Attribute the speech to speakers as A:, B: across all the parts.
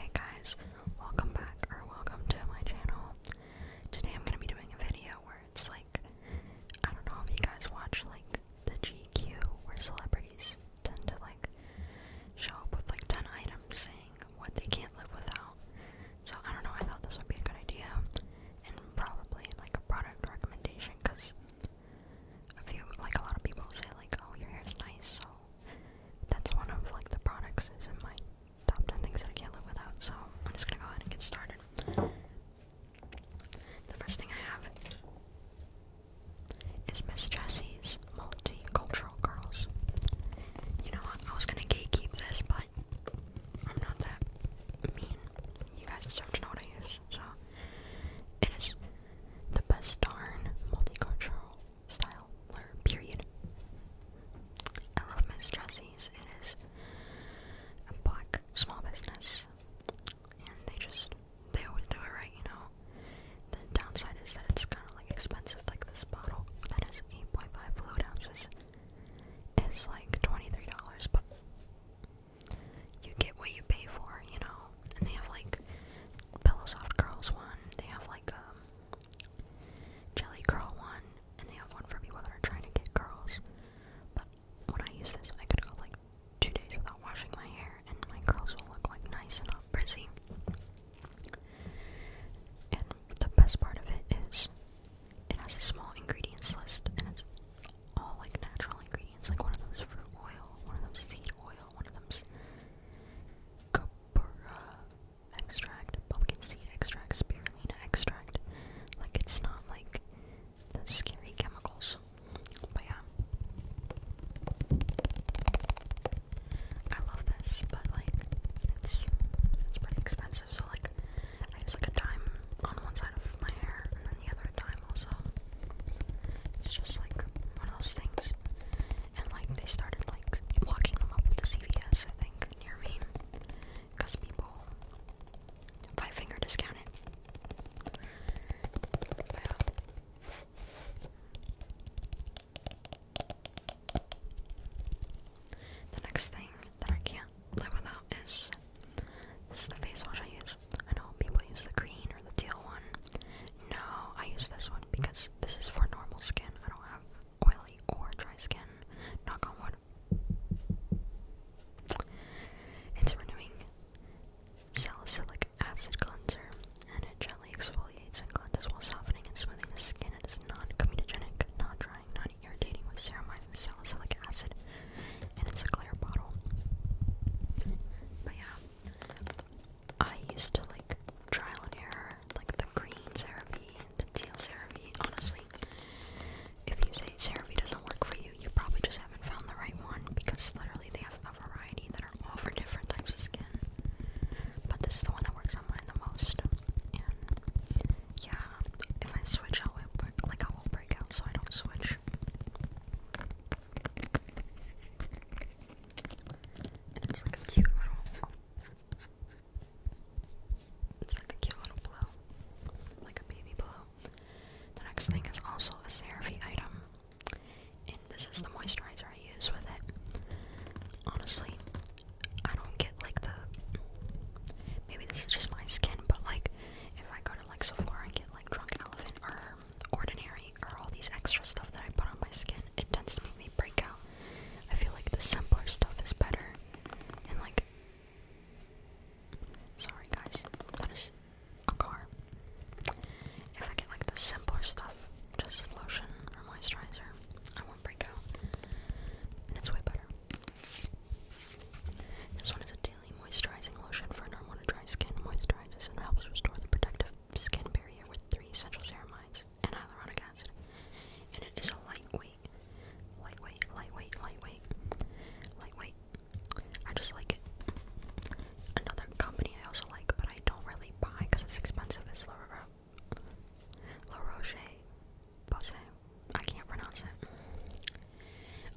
A: Hey guys, welcome back or welcome to my channel. Today I'm gonna be doing a video where it's like I don't know if you guys watch like the GQ where celebrities tend to like show up with like 10 items saying what they can't live without. So I don't know, I thought this would be a good idea and probably like a product recommendation because a few like a lot of people say like oh your hair is nice so that's one of like the products is in my top 10 things that I can't live without. So I'm just gonna go ahead and get started. The first thing I have is Miss Jessie's Multicultural Girls. You know what? I was gonna keep this, but I'm not that mean. You guys deserve to know what I use, so it is the best darn multicultural style or period. I love Miss Jessie's. It is a black small business, and they just they always do it right, you know. The downside is that it's kind of like expensive. Like this bottle that is 8.5 fluid ounces is like $23, but you get what you pay for, you know. And they have like pillow soft girls one. They have like um Jelly Curl one, and they have one for people that are trying to get curls. But when I use this, I could go like two days without washing my hair, and my curls will look like nice and not frizzy. And the best part of it is it has a small ingredients list, and it's all like natural ingredients, like one of them's fruit oil, one of them's seed oil, one of them's. Go burra extract, pumpkin seed extract, spirulina extract. Like it's not like the scary chemicals. But yeah. I love this, but like it's it's pretty expensive, so like I use like a dime on one side of my hair and then the other dime also. It's just like one of those things and like they started like locking them up with the CVS, I think, near me, cause people five finger discount The next thing that I can't live without is this is the face wash I use. I know people use the green or the teal one. No, I use this one because this is for normal skin. I don't have oily or dry skin. Knock on wood. It's renewing salicylic acid cleanser, and it gently exfoliates and cleanses while softening and smoothing the skin. It is not drying not non-irritating with ceramide and salicylic acid, and it's a clear bottle. But yeah, I used to like trial and error, like the green CeraVe and the teal CeraVe. Honestly, if you say CeraVe doesn't work for you, you probably just haven't found the right one because literally they have a variety that are all for different types of skin. But this is the one that works on mine the most. And yeah, if I switch, I will like I will break out, so I don't switch. it's like a cute little it's like a cute little blow. Like a baby blow. The next thing is also a CeraVe item. And this is the moisturizer I use with it. Honestly, I don't get like the. Maybe this is just my skin, but like if I go to like Sephora and get like Drunk Elephant or Ordinary or all these extra stuff that I put on my skin, it tends to make me break out I feel like the simpler stuff is better. And like sorry guys, that is a car. If I get like the simpler stuff, just lotion or moisturizer, I won't break out. And it's way better. This one is a daily moisturizing lotion for normal to dry skin. Moisturizes and helps restore the protective skin barrier with three essential ceramides is hyaluronic acid, and it is a lightweight, lightweight, lightweight, lightweight, lightweight. I just like it. Another company I also like, but I don't really buy because it's expensive. It's La, Ro La Roche Posay. I can't pronounce it.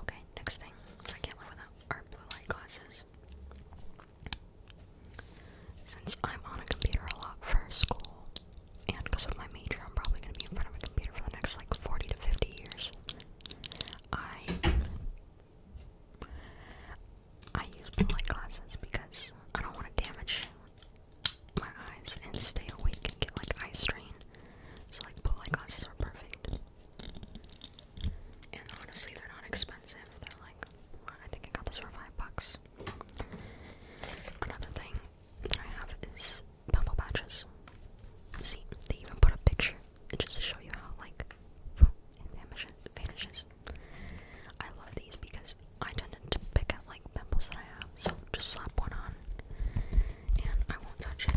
A: Okay, next thing I can't live without are blue light glasses. Since I'm on a computer a lot for school, and because of my major, I'm probably going to be in front of a computer for the next like 40 to 50 years. I I use blue light glasses because I don't want to damage my eyes and stay awake and get like eye strain. So like blue light glasses are perfect. And honestly, they're not expensive. They're like I think I got this for five bucks. Another thing that I have is pimple patches. See, they even put a picture just to show you how like it vanishes. I love these because I tend to pick out like pimples that I have, so just slap one on and I won't touch it.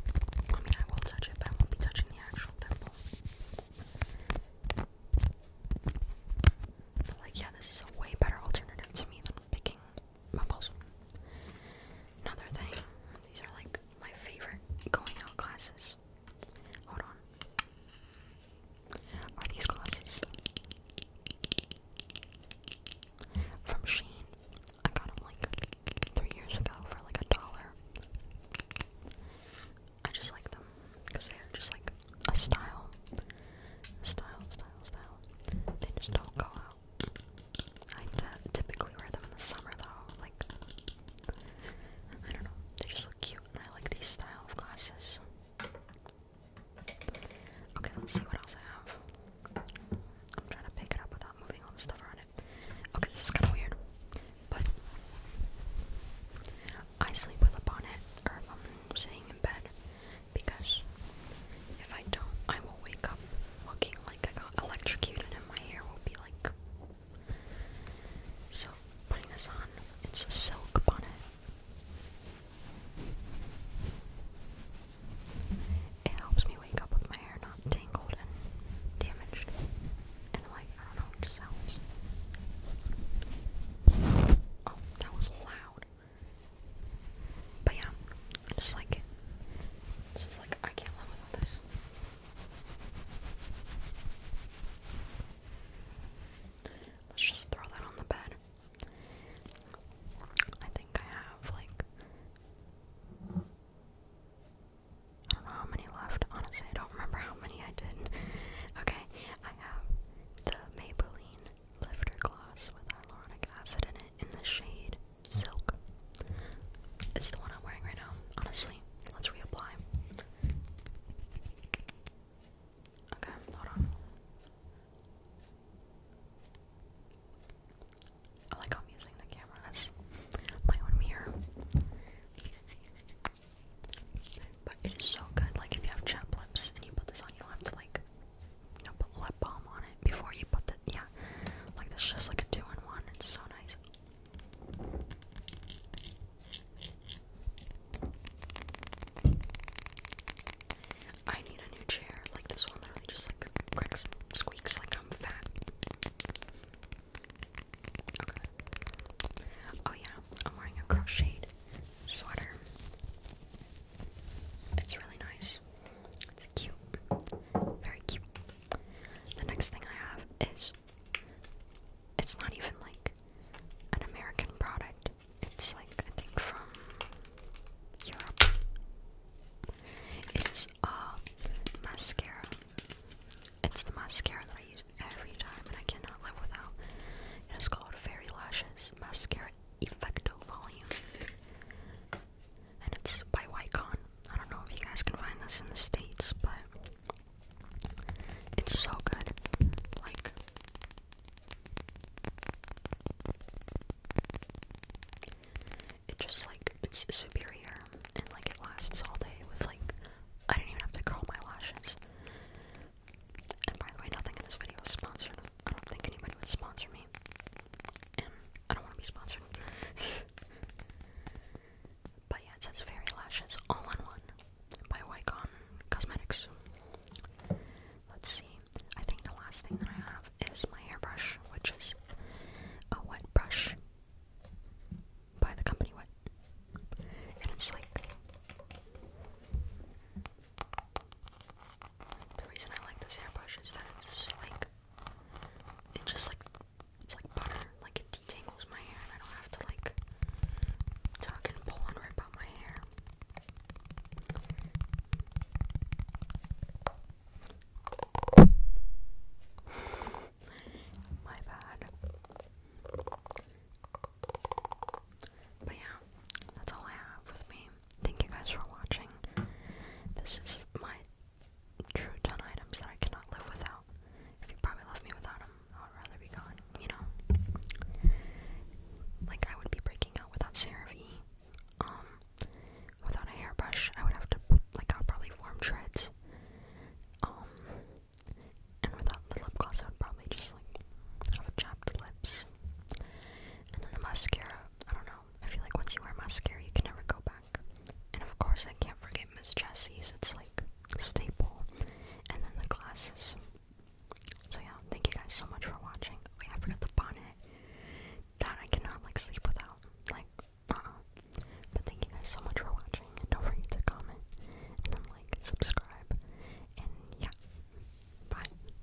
A: I mean I will touch it, but I won't be touching the actual pimple like, yeah, this is a way better alternative to me than picking mumbles. Another thing, these are like my favorite going out classes. Hold on. Are these glasses? From Sheen. I got them like three years ago for like a dollar. I just like them because they're just like a style. Style, style, style. They just don't go out. I typically wear them in the summer though, like, I don't know, they just look cute and I like these style of glasses. Okay, let's see what else I have. I'm trying to pick it up without moving all the stuff around it. Okay, this is kind of weird, but I sleep with a bonnet, or if I'm sitting in bed, because if I don't, I will wake up looking like I got electrocuted and my hair will be like. So, putting this on, it's a silk bonnet. It helps me wake up with my hair not tangled and damaged. And, like, I don't know, just helps. Oh, that was loud. But yeah, I just like This is like I can't live without this. Let's just throw that on the bed. I think I have like I don't know how many left. Honestly, I don't remember how many I did. Okay, I have the Maybelline Lifter gloss with hyaluronic acid in it in the shade Silk. It's the one I'm wearing right now, honestly. Let's reapply. Okay, hold on. I like I'm using the camera my own mirror. But it is so good. Like, if you have chapped lips and you put this on, you don't have to, like, no, put lip balm on it before you put the yeah. Like this is like a two in one. It's so nice. I need a new chair. Like this one literally just like cracks squeaks like I'm fat. Oh yeah, I'm wearing a crocheted sweater. It's really nice. It's cute. Very cute. The next thing I have is it's not even like an American product. It's like I think from Europe. It is a mascara. It's the mascara that I use every time and I cannot live without. It is called Fairy Lashes Mascara Effecto Volume. And it's by Wycon. I don't know if you guys can find this in the States, but it's so good. Like, it just like, it's superior and like it lasts all day with like, I do not even have to curl my lashes. And by the way, nothing in this video is sponsored. I don't think anybody would sponsor me. And I don't want to be sponsored. but yeah, it says Fairy Lashes All in One by Wycon Cosmetics. Let's see. I think the last thing that I have is my hairbrush, which is a wet brush by the company Wet. And it's like the reason I like this hairbrush is that it's like it just like it's like butter, like it detangles my hair and I don't have to like tuck and pull and rip out my hair. my bad. But yeah, that's all I have with me thank you guys for watching. This is my true 10 items that I cannot live without. If you probably love me without them, I would rather be gone, you know? Like, I would be breaking out without CeraVe. Um, without a hairbrush, I would have to, like, I would probably form treads. Um, and without the lip gloss, I would probably just, like, have chapped lips. And then the mascara, I don't know, I feel like once you wear mascara, you can never go back. And of course, I can't forget Miss Jessie's, it's like staple. And then the glasses. So yeah, thank you guys so much for watching. Wait, oh, I forgot the bonnet. That I cannot like sleep without. Like, uh-uh. But thank you guys so much for watching. don't forget to comment. And like, subscribe. And yeah. Bye.